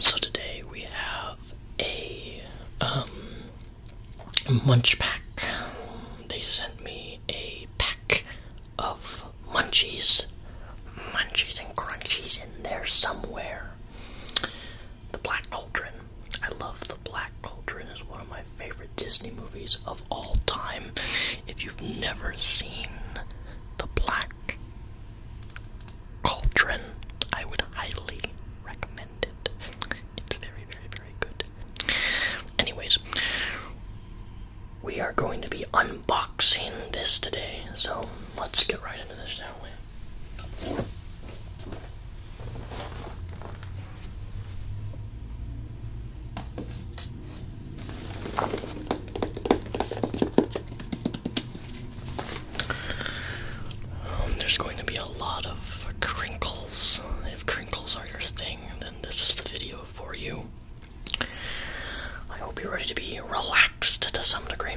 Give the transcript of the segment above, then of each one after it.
So today we have a um Munchpack. They sent me a pack of munchies. Munchies and crunchies in there somewhere. The Black Cauldron. I love The Black Cauldron. is one of my favorite Disney movies of all time. If you've never seen The Black cauldron. I would highly recommend it. It's very, very, very good. Anyways, we are going to be unboxing this today, so let's get right into this, now. we? Um, there's going to be a lot of crinkles. If crinkles are your thing, then this is the video for you. I hope you're ready to be relaxed to some degree.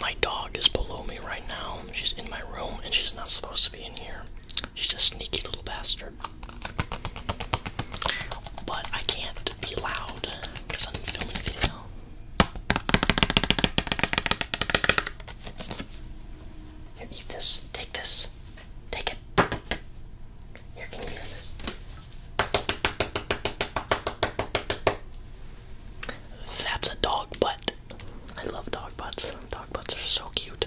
My dog is below me right now. She's in my room and she's not supposed to be in here. She's a sneaky little bastard. But I can't be loud because I'm filming a video. eat this. Take this. Take it. Here, can you hear this? That's a dog butt. I love dog butts. Dog butts are so cute.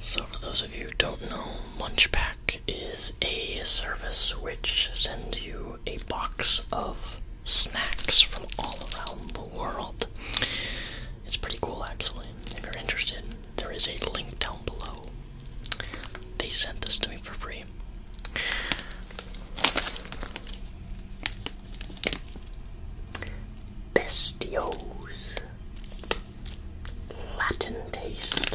So, for those of you who don't know, Munchpack is a service which sends you a box of snacks from all around the world. It's pretty cool, actually. If you're interested, there is a link down below. They sent this to me for free. Bestios. Latin taste.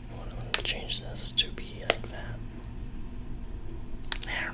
I want to change this to be like that. There.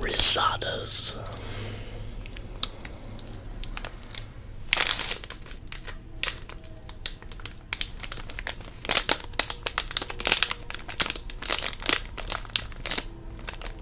Risadas.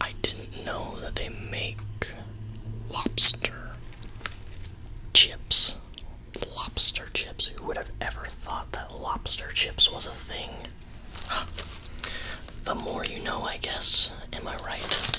I didn't know that they make lobster chips. Lobster chips. Who would have ever thought that lobster chips was a thing? The more you know, I guess. Am I right?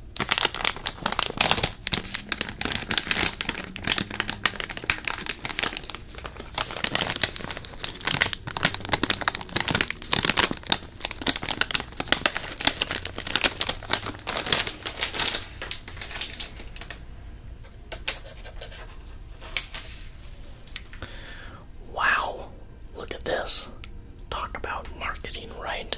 Wow, look at this. Talk about marketing, right?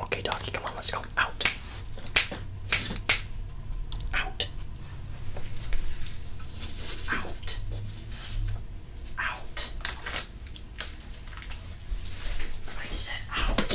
Okay, doggy, come on, let's go. Out. Out. Out. Out. I said out.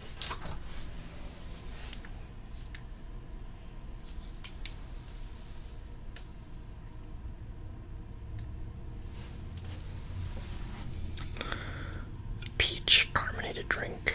Peach carbonated drink.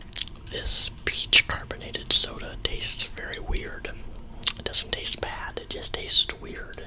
This peach carbonated soda tastes very weird. It doesn't taste bad, it just tastes weird.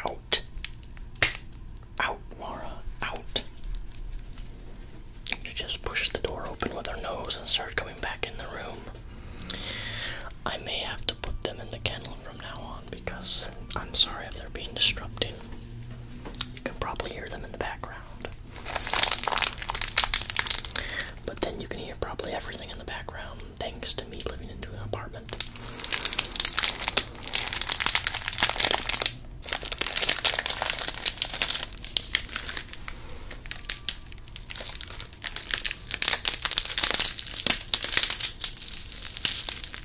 Out. Out, Laura. Out. She just pushed the door open with her nose and started coming back in the room. I may have to put them in the kennel from now on because I'm sorry if they're being disrupting. You can probably hear them in the background. But then you can hear probably everything in the background thanks to me living into an apartment.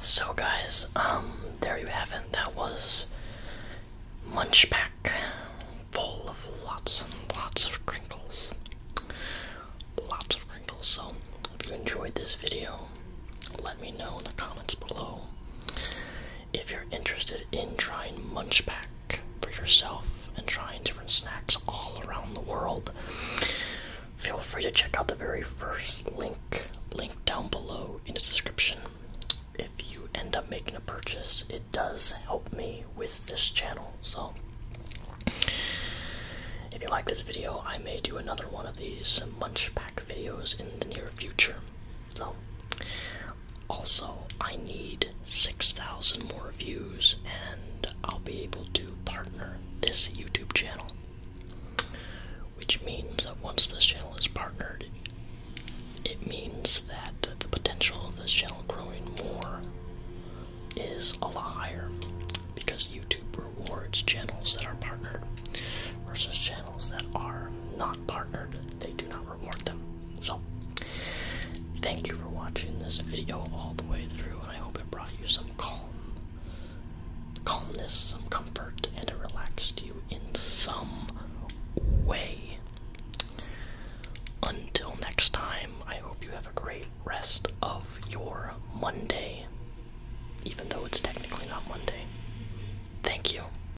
So guys, um, there you have it. That was Munchback, full of lots and lots of crinkles. Lots of crinkles. So, if you enjoyed this video, let me know in the comments below. If you're interested in trying Munchback for yourself and trying different snacks all around the world, feel free to check out the very first link, link down below in the description. If you end up making a purchase, it does help me with this channel. So, if you like this video, I may do another one of these Munchback videos in the near future. So, also, I need 6,000 more views and I'll be able to partner this YouTube channel. Which means that once this channel is partnered, it means that the potential of this channel growing more is a lot higher because YouTube rewards channels that are partnered versus channels that are not partnered. They do not reward them. So, thank you for watching this video all the way through, and I hope it brought you some calm, calmness, some comfort, and it relaxed you in some way. Until next time, I hope you have a great rest of your Monday, even though it's technically not Monday. Thank you.